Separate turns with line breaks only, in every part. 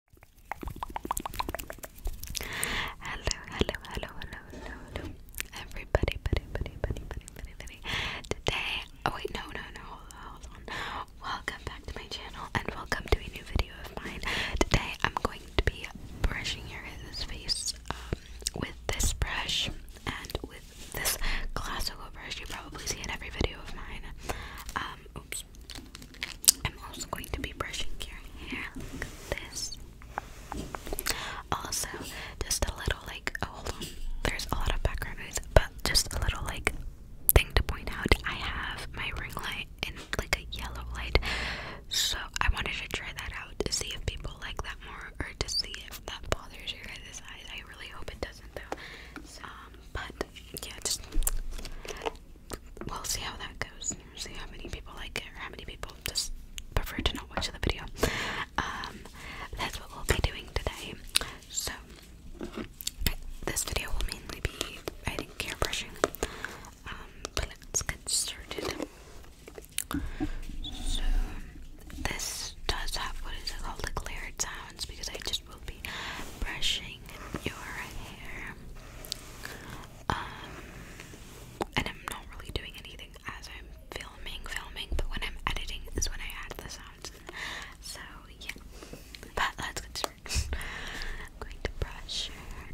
Hello, hello, hello, hello, hello, hello. Everybody, buddy, buddy, buddy, buddy, buddy, buddy. Today, oh wait, no, no, no, hold on. Welcome back to my channel and welcome to a new video of mine. Today, I'm going to be brushing your face um, with this brush and with this classical brush. You probably see in every video of mine. Um, oops. I'm also going to be brushing your hair like this. Also, just a little like, oh, there's a lot of background noise, but just a little like thing to point out. I have my ring light in like a yellow light, so I wanted to try that out to see if people like that more or to see if that bothers your guys' eyes. I really hope it doesn't though. Um, but yeah, just we'll see how that goes. See how many people like it or how many people just prefer to not watch the video. Um, that's what we'll be doing today. So this video will mainly be I think airbrushing. Um, let's get started. So this does have what is it called? Like layered sounds because I just we'll be brushing your hair. Um, and I'm not really doing anything as I'm filming, filming, but when I'm editing is when I add the sounds. So yeah, but let's get started. going to brush your hair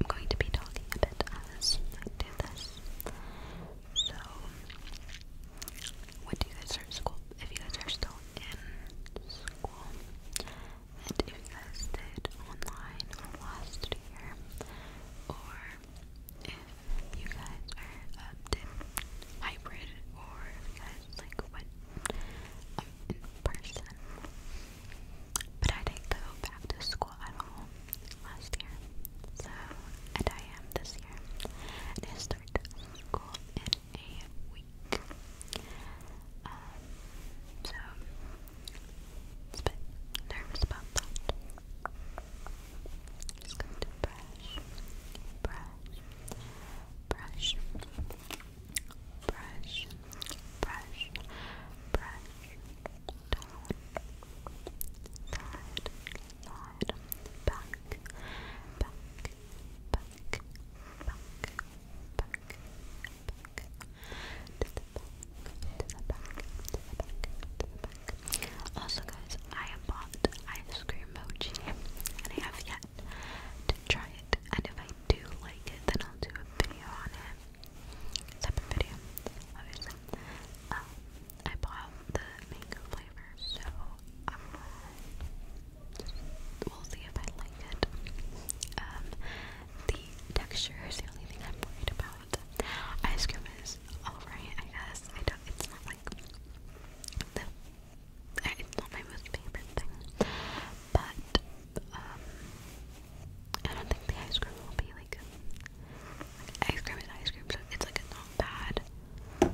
I'm going to be talking a bit as I do this. So when do you guys start school? If you guys are still in school, and if you guys did online last year, or if you guys are um, did hybrid, or you guys like went um, in person. But I didn't go back to school at all last year, so and I am this year start school um, so, nervous about that. Just going to brush, brush, brush, brush, brush, brush, down, side, long side, back, Also, guys, I have bought ice cream mochi, and I have yet to try it. And if I do like it, then I'll do a video on it. Separate video, um, I bought the mango flavor so we'll see if I like it. Um, the texture is the only thing I'm worried about. Ice cream is alright, I guess. It's not like the. It's not my most favorite thing, but um, I don't think the ice cream will be like ice cream is ice cream, so it's like it's not bad.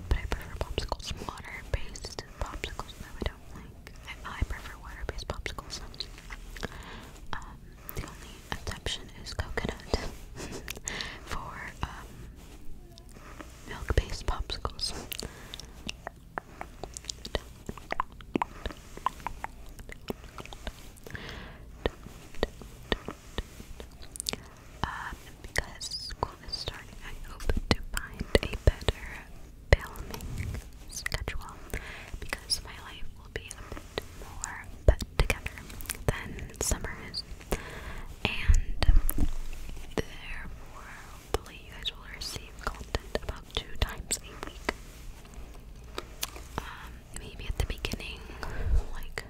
But I prefer popsicles, water-based popsicles. No, I don't like. I, I prefer water-based popsicles. Um, the only exception is coconut for um milk-based popsicles. Um, because school is starting, I hope to find a better filming schedule because my life will be a bit more put together than summer And therefore, hopefully, you guys will receive content about two times a week. Um, maybe at the beginning, like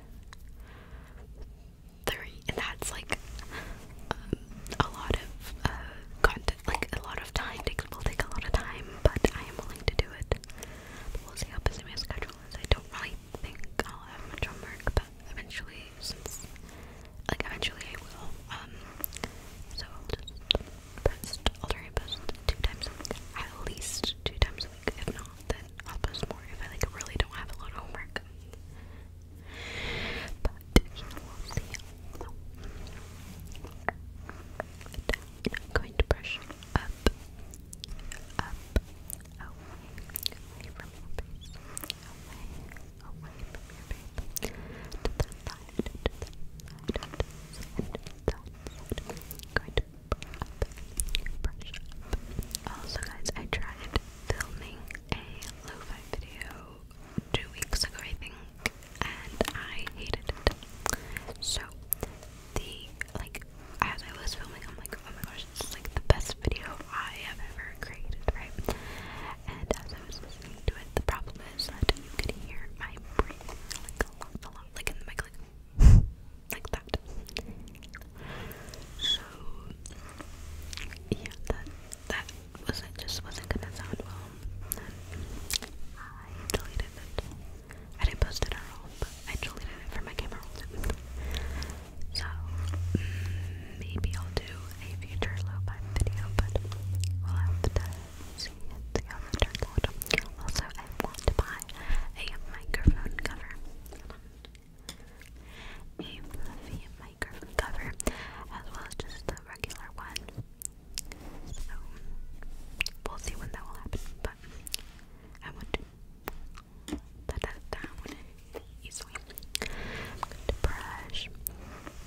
three, and that's like um, a lot of uh, content, like a lot of time. It will take a lot of time, but I am willing to do it. But we'll see how busy my schedule is. I don't really think I'll have much homework, but eventually, since like eventually I will. Um, so I'll just post. I'll try and post two times a week, at least two times if not, then I'll post more if I like really don't have a lot of homework. But we'll see. I'm going to brush up, up, away, away from your face, away, away from your face, to the side, to the side, to the side, to the side. I'm going also, guys, I tried filming a lo-fi video two weeks ago, I think, and I hated it. So the like as I was filming, I'm like, oh my gosh, this is like the best video I have ever created, right? And as I was listening to it, the problem is that you could hear my breathing like a lot, a like in the mic, like like that. So yeah, that that wasn't just wasn't gonna sound well. I deleted it. I didn't post it at all, but I deleted it from my camera roll. So mm, maybe I'll do a future low vibe video, but we'll have to see Also, I want to buy a microphone cover a fluffy microphone cover, as well as just the regular one. So we'll see when that will happen, but I want to I'm going to brush,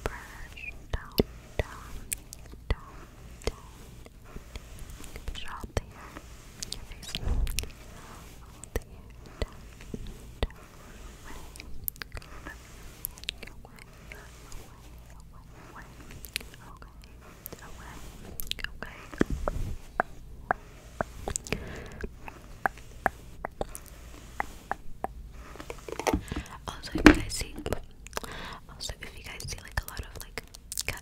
brush, down, down, down, down. Push out the hair okay, also if you guys see also if you guys see like a lot of like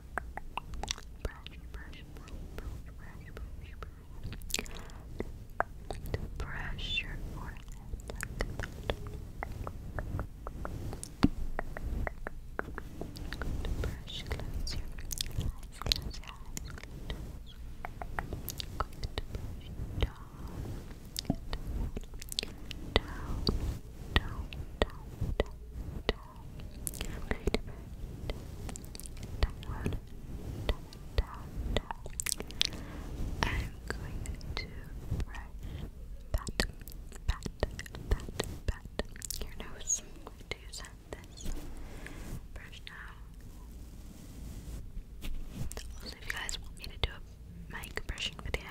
brush, brush, brush, brush, brush, brush, brush. brush your forehead like that. Good brush, close your eyes, close your eyes, close. Good brush, down, down, down, down, down, down pat, pat, pat, pat your nose. I'm going to use this brush now. Also, if you guys want me to do a mic brushing video,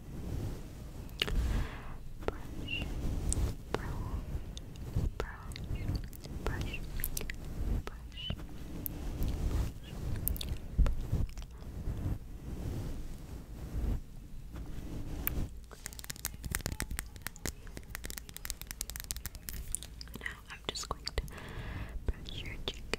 brush, brush, now I'm just going to brush your cheek.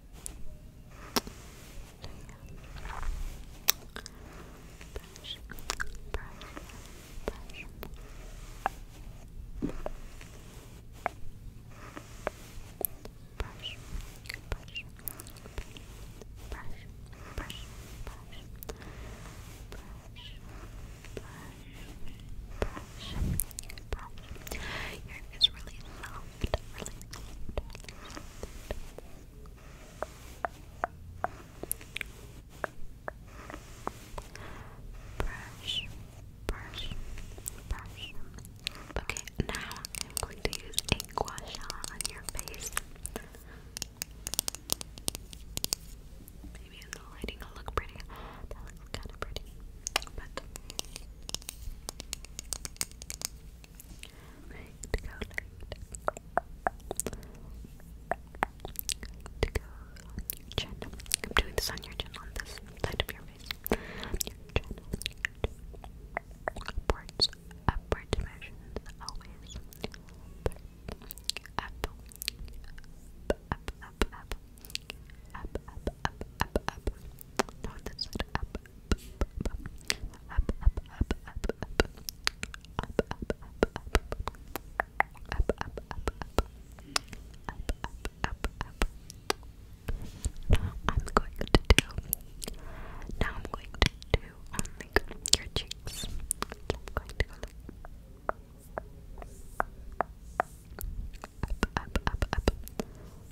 brush, brush, really long Brush, brush, brush. Okay, now I'm going to use a gua sha on your face. Maybe the lighting will look pretty. That looks kind of pretty, but to go To go on your chin. I'm doing this on your chin, on this side of your face. On Upwards, upward always. Up, up, up, up, up, up, up, up, up, up. No, this up, now I'm going to do. Now I'm going to do I'm going to go like up, up, up, up,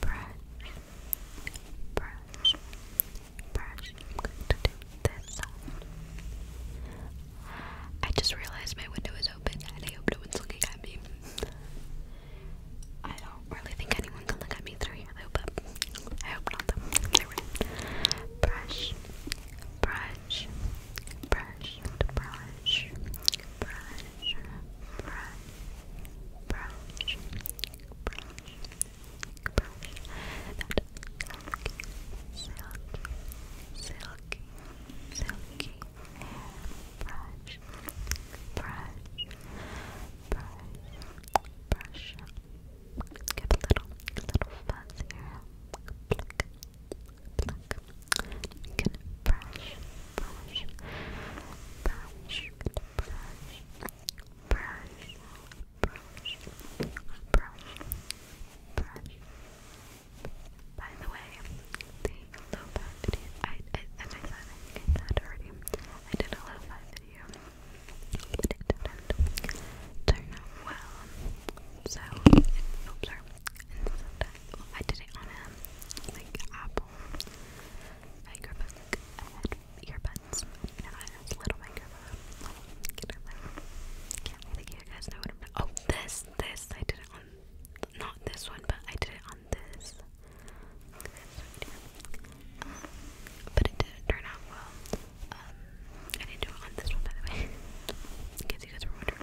brush, brush, brush. i I just realized my window is open and I hope no one's looking at me. I don't really think anyone can look at me through here though, but I hope not though. brush, brush, brush, brush, brush, brush, brush, brush, brush that silky, silky, silky brush, brush, brush, brush get a little, a little fuzz here pluck, pluck you can brush, brush, brush, By the way, the lo-fi video, I, I, I said, I think I already, I did a lo-fi video, turn out well, so, oops, I did it on like Apple microphone, earbuds, and a little microphone. Get think you guys know what Oh, this, this, I did it on, not this one, but I did it on this. but it didn't turn out well. Um, I did it on this one, by the way, in case you guys were wondering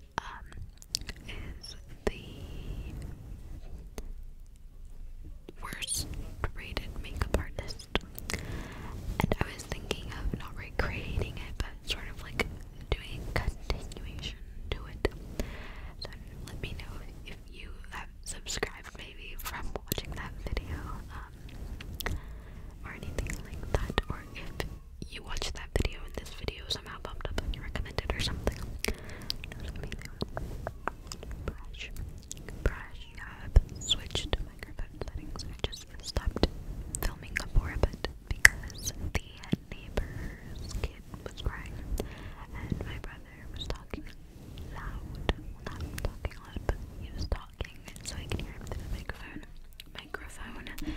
um, is the worst rated makeup artist. And I was thinking of not recreating it, but sort of like doing continuation to it. So let me know if you have subscribed maybe from watching that video um, or anything like that, or if you watched that video In this video somehow popped up on your recommended or something. Brush, brush. I've switched microphone settings. I just stopped filming for a because the neighbor's kid was crying and my brother was talking loud. not talking loud, but he was talking so I could hear him through the microphone. Microphone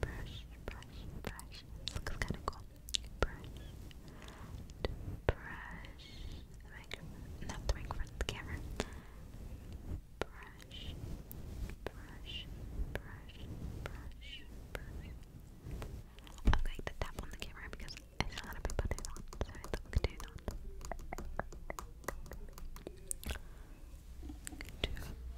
brush, brush, brush. looks kind of cool. Brush, brush. The microphone, not the microphone, the camera. Brush, brush, brush, brush, brush. I'm going to tap on the camera because I saw that, so I thought we could do that. Two,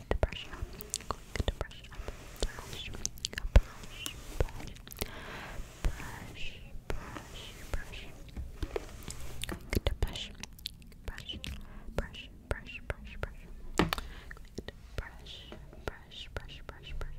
going to brush up. to brush Brush, brush, brush, brush, brush, brush. brush, brush, brush, brush, brush, brush, brush, brush, brush, brush, brush. brush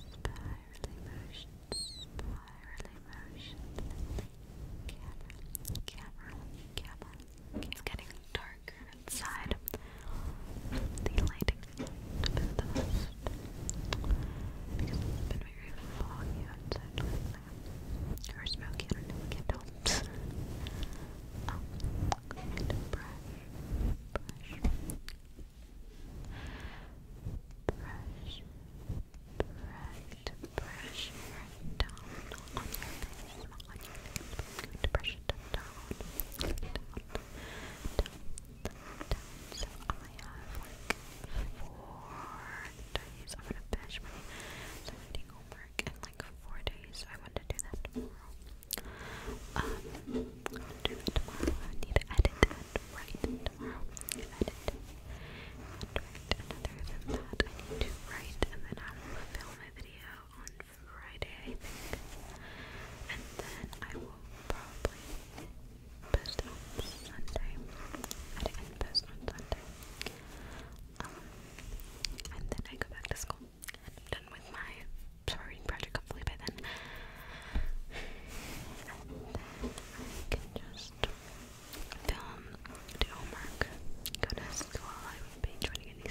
spirally motion, spirally motion. Camera, camera, camera. It's getting darker inside. The lighting the best it's been very foggy outside or smoky. I do brush, brush, Brush, brush, brush right down on your face, on your face. I'm going to brush it down, So I have like four days. I'm gonna finish my Sunday homework in like four days. I want to do that tomorrow. Um, I'll do need to edit and write tomorrow. Edit and write. And other than that, I need to write and then I will film a video on Friday, I think. And then I will probably post on Sunday. Edit and post on Sunday. Um, and then I go back to school. I'm done with my sorority project, hopefully by then. I can just film, do homework, go to I would be joining any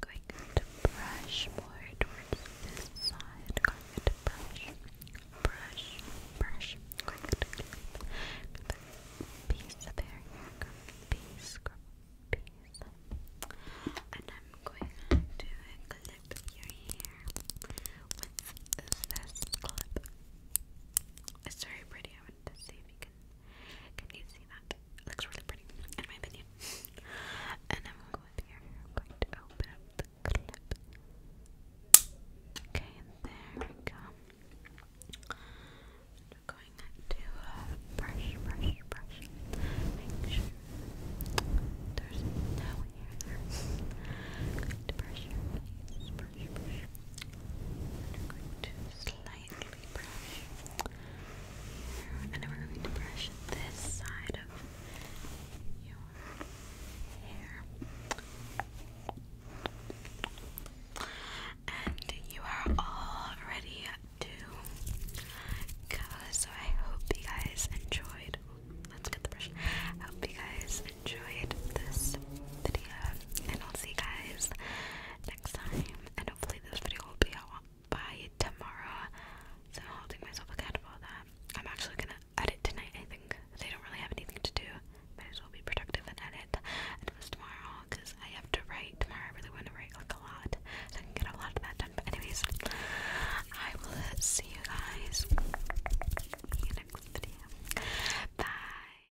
going to brush more towards this side. going to brush, brush, brush. piece of hair here. Piece, piece. And I'm going to clip your hair with this clip. It's very pretty. I wanted to see if you can, you see that? It looks really pretty, in my opinion. and i I'm going to open up the clip. Okay, there we go. going to uh, brush, brush, brush. Make sure there's no hair there. I'm brush brush, brush. And I'm going to slap and then we're going to brush this side of your hair. And you are all ready to go, so I hope you guys enjoyed. Let's get the brush. I hope you guys enjoyed this video, and I'll see you guys next time. And hopefully this video will be out by tomorrow. So I'm holding myself accountable that. I'm actually gonna edit tonight, I think. They don't really have anything to do. Might as well be productive and edit. And it tomorrow, because I have to write tomorrow. I really want to write like a lot. So I can get a lot of that done. anyways, I will see you guys in the next video. Bye.